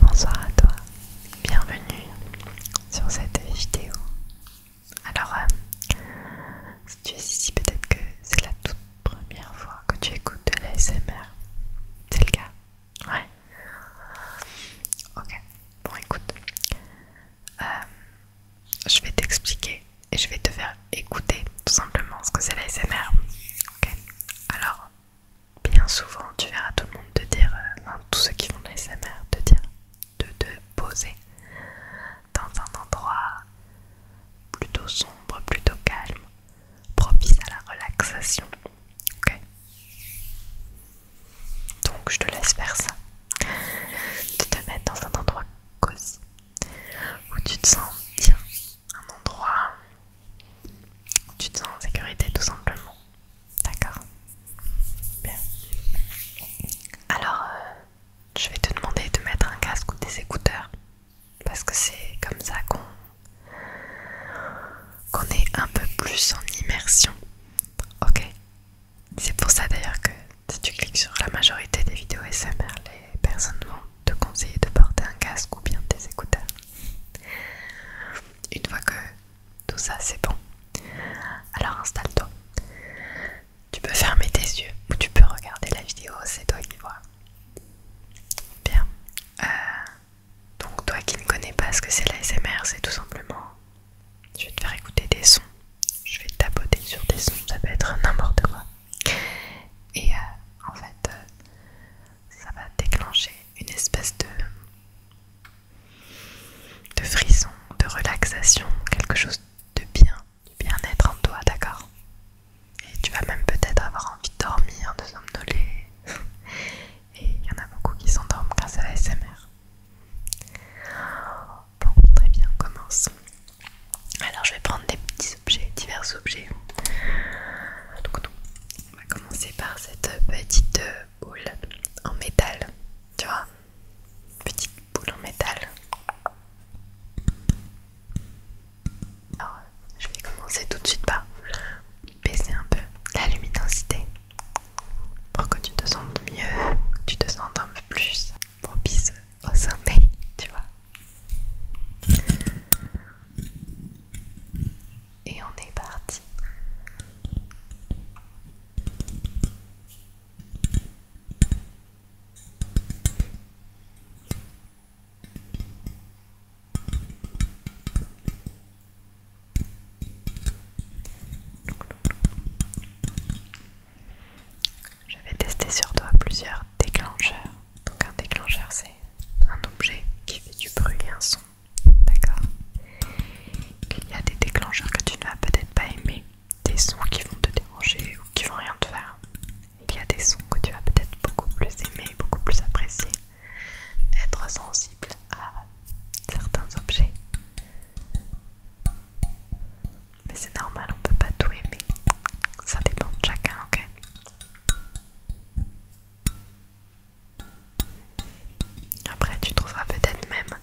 Bonsoir à toi, bienvenue sur cette vidéo. Alors, euh, si tu es ici, peut-être que c'est la toute première fois que tu écoutes de l'ASMR. C'est le cas Ouais. Ok, bon écoute. Euh, je vais t'expliquer et je vais te faire écouter tout simplement ce que c'est la Ok, alors bien souvent tu verras tout le monde te dire, euh, tous ceux qui font de la te dire de te poser dans un endroit plutôt sombre, plutôt calme, propice à la relaxation. Ok Donc je te laisse faire ça. Tu te mets dans un endroit cosy où tu te sens bien. Un endroit où tu te sens en sécurité tout simplement. D'accord Bien. Alors, euh, je vais te demander de mettre un casque ou des écouteurs. Parce que c'est comme ça qu'on Qu'on est un peu plus en immersion Ok. C'est pour ça d'ailleurs que si tu cliques sur la majorité des vidéos SMR, les personnes vont te conseiller de porter un casque ou bien des écouteurs. Une fois que tout ça c'est bon, alors installe-toi. Tu peux fermer tes yeux ou tu peux regarder la vidéo, c'est toi qui vois. Bien. Euh, donc toi qui ne connais pas ce que c'est l'ASMR, c'est tout simplement, je vais te faire écouter des sons, je vais te tapoter sur des sons, ça peut être n'importe quoi. Et euh, en fait, euh, ça va déclencher une espèce de, de frisson, de relaxation, quelque chose de bien, du bien-être en toi, d'accord Et tu vas même peut-être avoir envie de dormir, de somnoler. Et il y en a beaucoup qui s'endorment grâce à l'ASMR. Bon, très bien, commence. Alors, je vais prendre des petits objets, divers objets. on va commencer par cette petite boule en métal. Tu vois Petite boule en métal. Alors, je vais commencer tout de suite par baisser un peu la luminosité pour que tu te sentes mieux, tu te sens un peu plus propice au sommeil, tu vois. Et on est parti. J'avais testé sur toi plusieurs déclencheurs. Donc un déclencheur c'est un objet qui fait du bruit un son. D'accord Il y a des déclencheurs que tu ne vas peut-être pas aimer, des sons qui vont te déranger ou qui vont rien te faire. Il y a des sons que tu vas peut-être beaucoup plus aimer, beaucoup plus apprécier être sensible à certains objets. Mais c'est normal, on peut pas tout aimer. Ça dépend de chacun, ok Après, tu trouveras peut-être même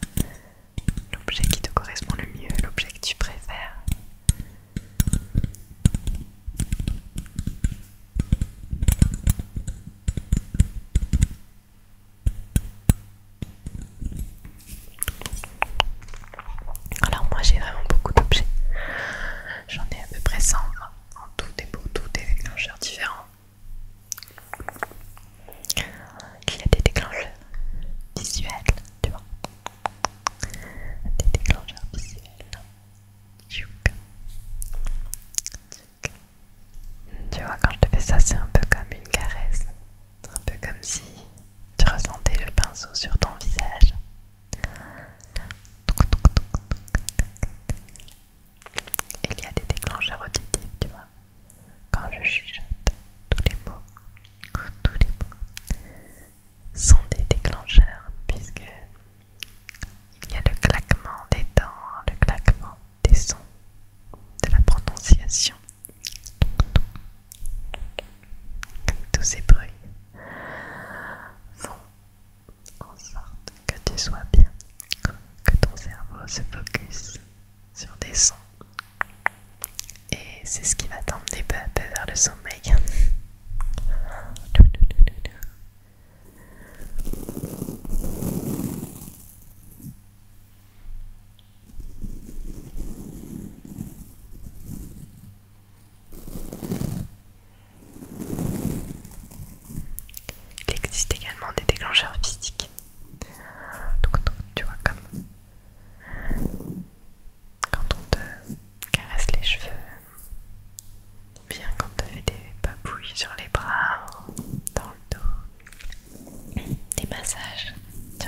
l'objet qui te correspond le mieux, l'objet que tu préfères. Alors moi j'ai vraiment beaucoup d'objets. J'en ai à peu près 100 en tout et pour tout des déclencheurs différents. Il y a des déclencheurs visuels, tu vois. Des déclencheurs visuels. Tu vois, quand je te fais ça, c'est un peu comme une caresse. Un peu comme si tu ressentais le pinceau sur ton visage. Il y a des déclencheurs auditifs, tu vois. Quand je chuchote, tous les mots, tous les mots sont des déclencheurs, puisque il y a le claquement des dents, le claquement des sons, de la prononciation. Tous ces bruits font en sorte que tu sois bien, que ton cerveau se focus sur des sons. Et c'est ce qui va t'emmener peu à peu vers le sommeil. Il existe également des déclencheurs physiques. Donc, tu vois, comme quand on te caresse les cheveux, bien quand as des papouilles sur les bras, dans le dos, des massages, tu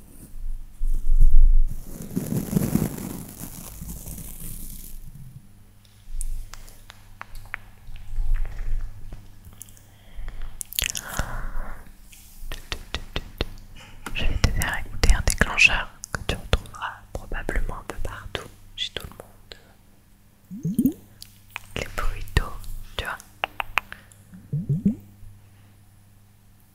Je vais te faire écouter un déclencheur que tu retrouveras probablement un peu partout, chez tout le monde. Les bruits d'eau, tu vois.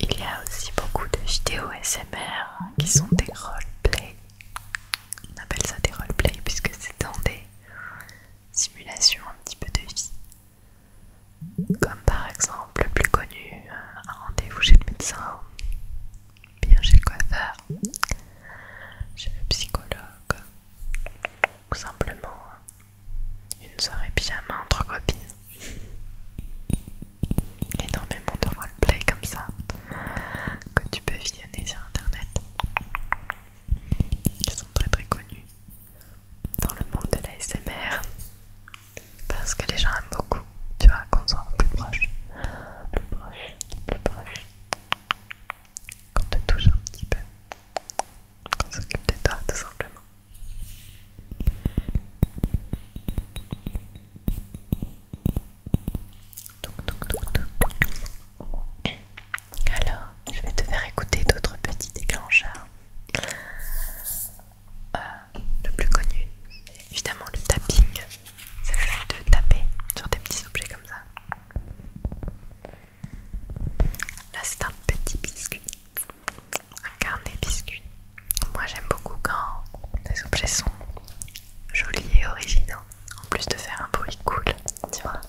Il y a aussi beaucoup de vidéos SMR qui sont des roleplays. On appelle ça des roleplays puisque c'est dans des simulations un petit peu de vie. Comme par exemple, le plus connu, euh, un rendez-vous chez le médecin, bien chez le coiffeur, chez le psychologue, ou simplement une soirée pyjama entre copines. Énormément de roleplay comme ça que tu peux visionner sur internet. Ils sont très très connus dans le monde de l'ASMR. Parce que les gens aiment beaucoup, tu vois, qu'on soit plus proche, plus proche, plus proche. Qu'on te touche un petit peu. Qu'on s'occupe de toi tout simplement. Alors, je vais te faire écouter d'autres petits déclencheurs. Euh, le plus connu, évidemment, le tapping. C'est le fait de taper sur des petits objets comme ça. Là, c'est un petit biscuit un carnet biscuit. Moi j'aime beaucoup quand les objets sont jolis et originaux, en plus de faire un bruit cool, tu vois.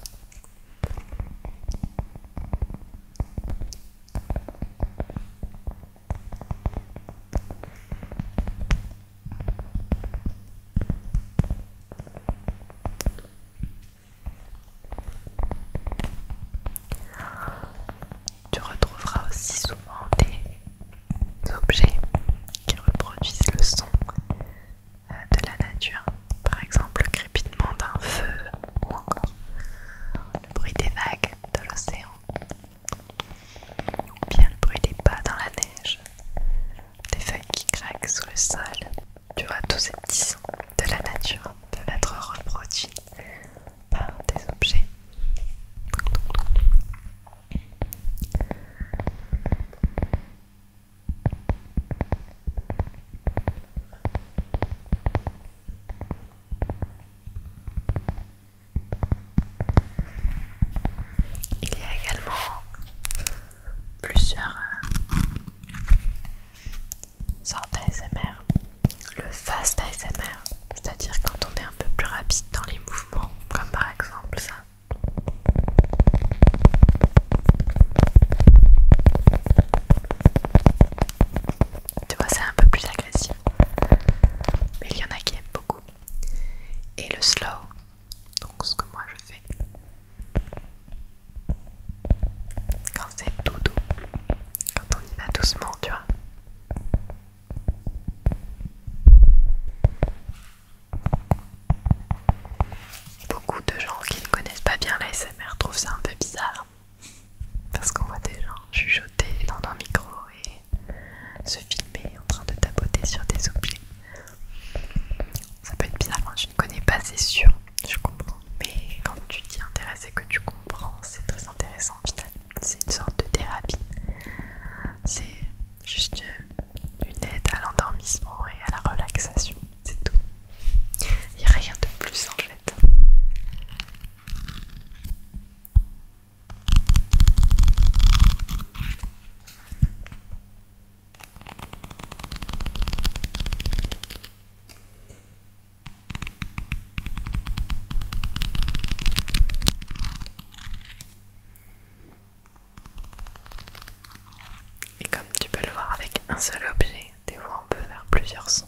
Tu retrouveras aussi souvent des objets qui reproduisent le son euh, de la nature, par exemple le crépitement d'un feu ou encore le bruit des vagues de l'océan, ou bien le bruit des pas dans la neige, des feuilles qui craquent sous le sol. Tu vois, tous ces petits sons de la nature peuvent être reproduits par des objets. Il y a également plusieurs euh, sorte ASMR, le fast ASMR, c'est-à-dire quand on est un peu plus rapide dans les mouvements, comme par exemple ça. Tu vois, c'est un peu plus agressif, mais il y en a qui aiment beaucoup. Et le slow, donc ce que moi je fais, quand c'est tout doux, quand on y va doucement, tu vois. Beaucoup de gens qui ne connaissent pas bien la SMR trouvent ça un peu bizarre. Parce qu'on voit des gens chuchoter dans un micro et se filmer en train de tapoter sur des objets. Ça peut être bizarre, moi hein. je ne connais pas, c'est sûr je comprends. Mais quand tu t'y intéressé que tu comprends, c'est très intéressant finalement. C'est une sorte de thérapie. C'est juste une aide à l'endormissement et à la relaxation. C'est tout. Il n'y a rien de plus en fait. Et comme tu peux le voir avec un seul objet, des fois on peut faire plusieurs sons.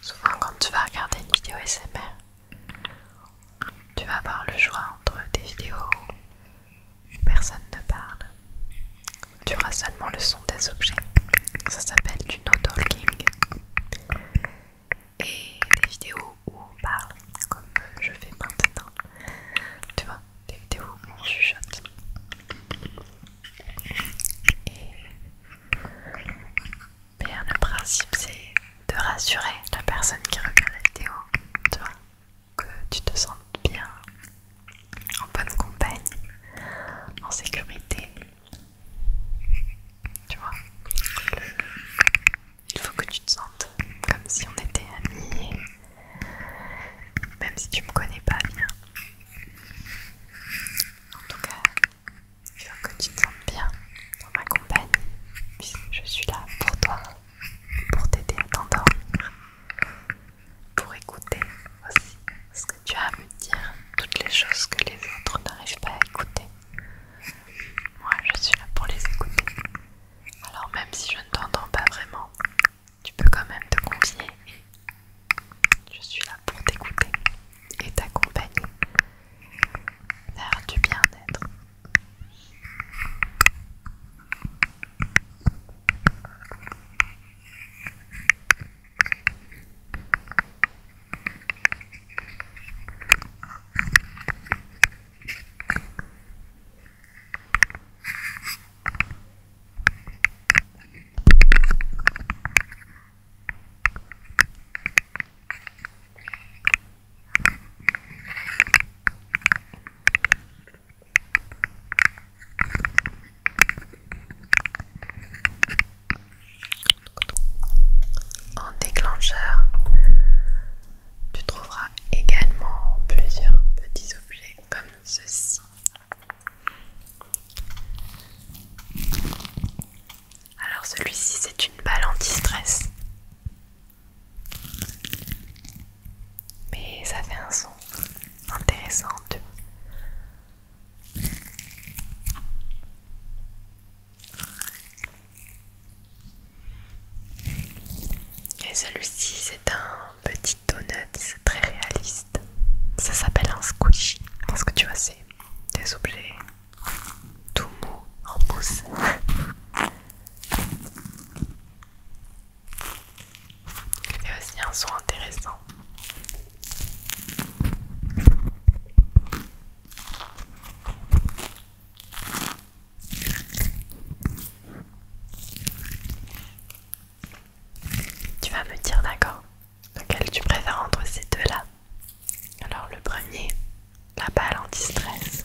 Souvent quand tu vas regarder une vidéo SMR, tu vas avoir le choix entre des vidéos où personne ne parle. Tu auras seulement le son des objets. Ça s'appelle du no-talking. Et des vidéos où on parle, comme je fais maintenant. Tu vois, des vidéos où on chuchote. Et bien, le principe c'est de rassurer la personne qui regarde la vidéo, tu vois, que tu te sentes bien, en bonne compagnie, en sécurité. Tu vois, il faut que tu te sentes comme si on était amis, même si tu me connais pas bien. En tout cas, je veux que tu te sentes bien dans ma compagnie, puisque je suis là pour toi, pour t'aider à t'endormir, pour écouter aussi ce que tu as à me dire, toutes les choses que les autres n'arrivent pas à écouter. Moi, je suis là pour les écouter. Alors même si je ne t'entends pas vraiment, tu peux quand même te confier. Je suis là pour t'écouter et t'accompagner vers du bien-être. En déclencheur, tu trouveras également plusieurs petits objets comme ceci alors celui-ci c'est une balle anti-stress. Mais ça fait un son intéressant. Et celui-ci c'est un petit donuts très réaliste. Ça s'appelle un squishy. Parce que tu vois, c'est des objets tout mous en mousse. Il y a aussi un son intéressant. Tu vas me dire d'accord lequel tu préfères entre ces deux-là. Alors le premier, la balle en distress.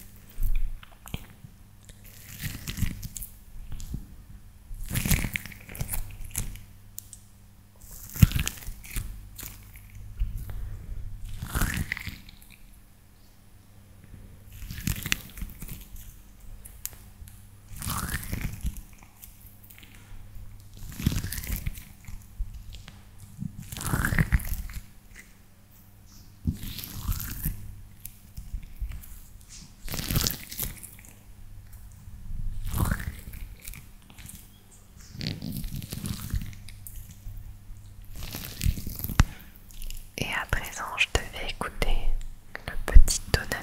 Et à présent, je devais écouter le petit tonnerre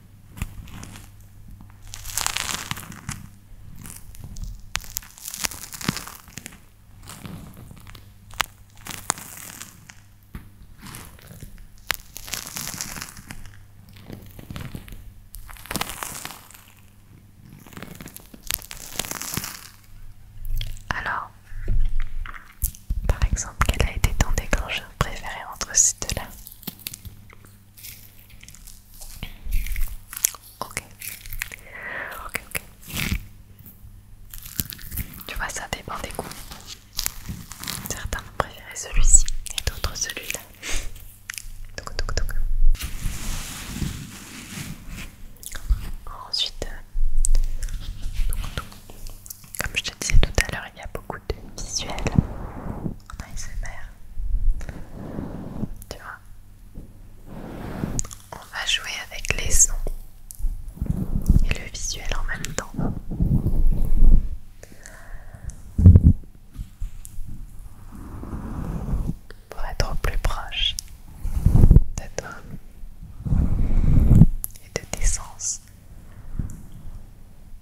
Alors, par exemple, quel a été ton déclencheur préféré entre ces deux-là Ok. Ok, ok. Tu vois, ça dépend des goûts. Certains vont préféré celui-ci et d'autres celui-là. Ensuite, euh, comme je te disais tout à l'heure, il y a beaucoup visuel visuel en ASMR. Tu vois On va jouer avec les sons et le visuel en même temps. Pour être plus proche de toi et de tes sens.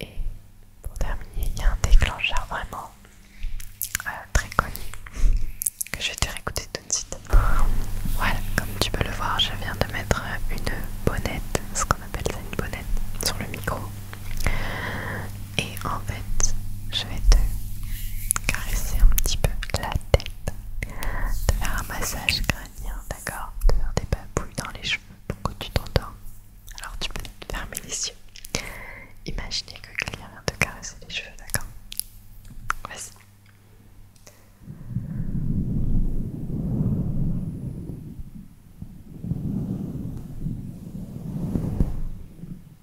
Et pour terminer, il y a un déclencheur vraiment euh, très connu que je vais te réécouter tout de suite. Voilà, comme tu peux le voir, je viens de mettre une bonnette, ce qu'on appelle ça une bonnette, sur le micro. Et en fait, je vais te caresser un petit peu la tête, te faire un massage crânien, d'accord Te faire des papouilles dans les cheveux pour que tu t'endormes. Alors tu peux te fermer les yeux. Imaginez que quelqu'un vient te caresser les cheveux, d'accord Vas-y.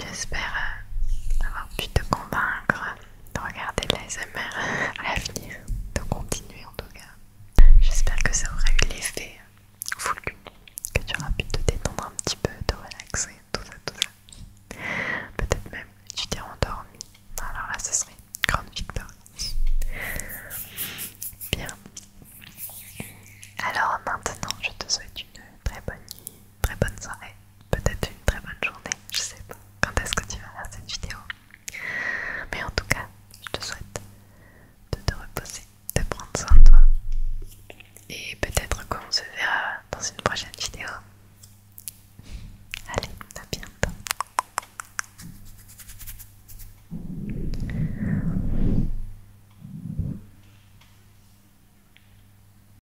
J'espère euh, avoir pu te convaincre de regarder l'ASMR à l'avenir, de continuer en tout cas. J'espère que ça aura eu l'effet voulu, que tu auras pu te détendre un petit peu, te relaxer, tout ça, tout ça. Peut-être même que tu t'es endormi. Alors là, ce serait une grande victoire. Bien. Alors maintenant, je te souhaite une très bonne nuit, très bonne soirée, peut-être une très bonne journée, je sais pas quand est-ce que tu vas voir cette vidéo. Mais en tout cas, je te souhaite de te reposer, de prendre soin de toi. Et peut-être qu'on se verra dans une prochaine vidéo. Allez, à bientôt.